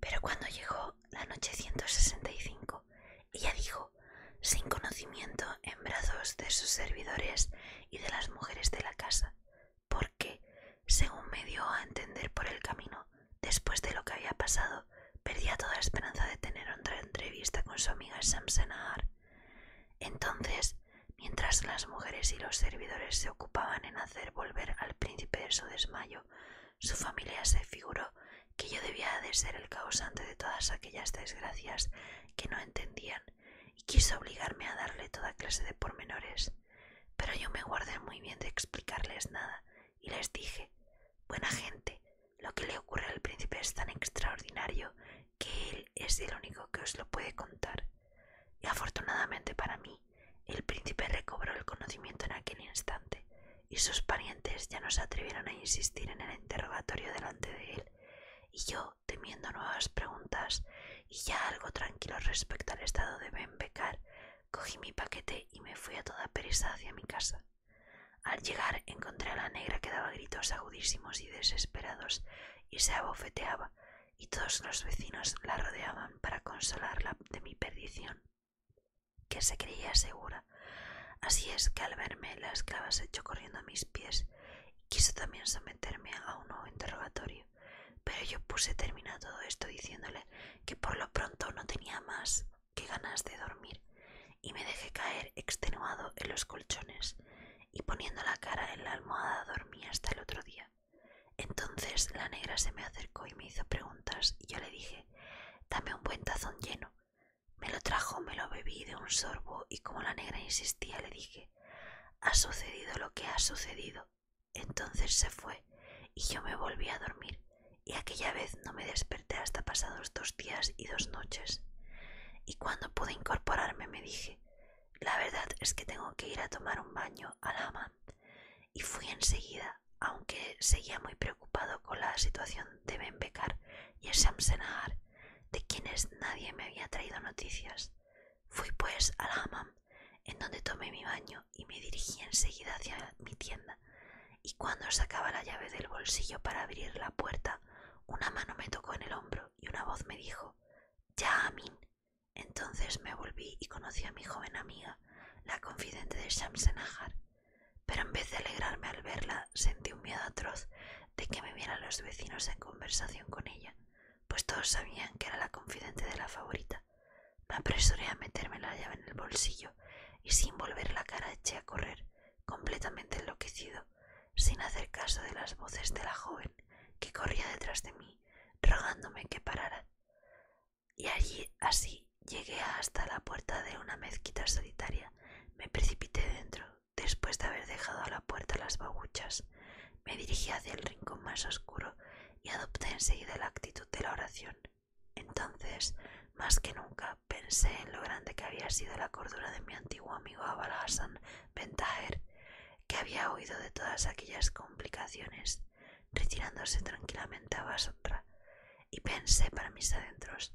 Pero cuando llegó la noche 165, ella dijo, sin conocimiento, en brazos de sus servidores y de las mujeres de la casa, porque, según me dio a entender por el camino, Después de lo que había pasado, perdía toda esperanza de tener otra entrevista con su amiga Samsenahar. Entonces, mientras las mujeres y los servidores se ocupaban en hacer volver al príncipe de su desmayo, su familia se figuró que yo debía de ser el causante de todas aquellas desgracias que no entendían y quiso obligarme a darle toda clase de pormenores. Pero yo me guardé muy bien de explicarles nada y les dije, buena gente, lo que le ocurre al príncipe es tan extraordinario que él es el único que os lo puede contar. Y afortunadamente para mí, el príncipe recobró el conocimiento en aquel instante, y sus parientes ya no se atrevieron a insistir en el interrogatorio delante de él, y yo, temiendo nuevas preguntas y ya algo tranquilo respecto al estado de Ben Cogí mi paquete y me fui a toda prisa hacia mi casa. Al llegar encontré a la negra que daba gritos agudísimos y desesperados y se abofeteaba, y todos los vecinos la rodeaban para consolarla de mi perdición, que se creía segura. Así es que al verme la esclava se echó corriendo a mis pies y quiso también someterme a un nuevo interrogatorio. Pero yo puse término a todo esto diciéndole que por lo pronto no tenía más que ganas de dormir y me dejé caer extenuado en los colchones y poniendo la cara en la almohada dormí hasta el otro día. Entonces la negra se me acercó y me hizo preguntas y yo le dije, dame un buen tazón lleno. Me lo trajo, me lo bebí de un sorbo y como la negra insistía le dije, ha sucedido lo que ha sucedido entonces se fue y yo me volví a dormir y aquella vez no me desperté hasta pasados dos días y dos noches. Y cuando pude incorporarme me dije, la verdad es que tengo que ir a tomar un baño al hammam Y fui enseguida, aunque seguía muy preocupado con la situación de Ben Bekar y Shamsenahar, de quienes nadie me había traído noticias. Fui pues al hammam en donde tomé mi baño y me dirigí enseguida hacia mi tienda, y cuando sacaba la llave del bolsillo para abrir la puerta, una mano me tocó en el hombro y una voz me dijo Ya, Amin. Entonces me volví y conocí a mi joven amiga, la confidente de Shamsenahar. Pero en vez de alegrarme al verla, sentí un miedo atroz de que me vieran los vecinos en conversación con ella, pues todos sabían que era la confidente de la favorita me apresuré a meterme la llave en el bolsillo y sin volver la cara eché a correr, completamente enloquecido, sin hacer caso de las voces de la joven que corría detrás de mí, rogándome que parara. Y allí así llegué hasta la puerta de una mezquita solitaria. Me precipité dentro, después de haber dejado a la puerta las babuchas me dirigí hacia el rincón más oscuro y adopté enseguida la actitud de la oración. Entonces, más que nunca, pensé en lo grande que había sido la cordura de mi antiguo amigo Abal Hassan que había oído de todas aquellas complicaciones, retirándose tranquilamente a Basotra, y pensé para mis adentros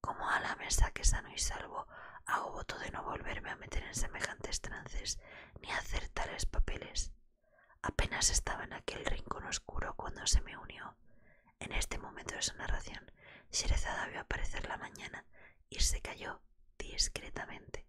cómo a la mesa que sano y salvo hago voto de no volverme a meter en semejantes trances ni hacer tales papeles. Apenas estaba en aquel rincón oscuro cuando se me unió. En este momento de su narración, Sherezada vio aparecer la mañana y se cayó discretamente.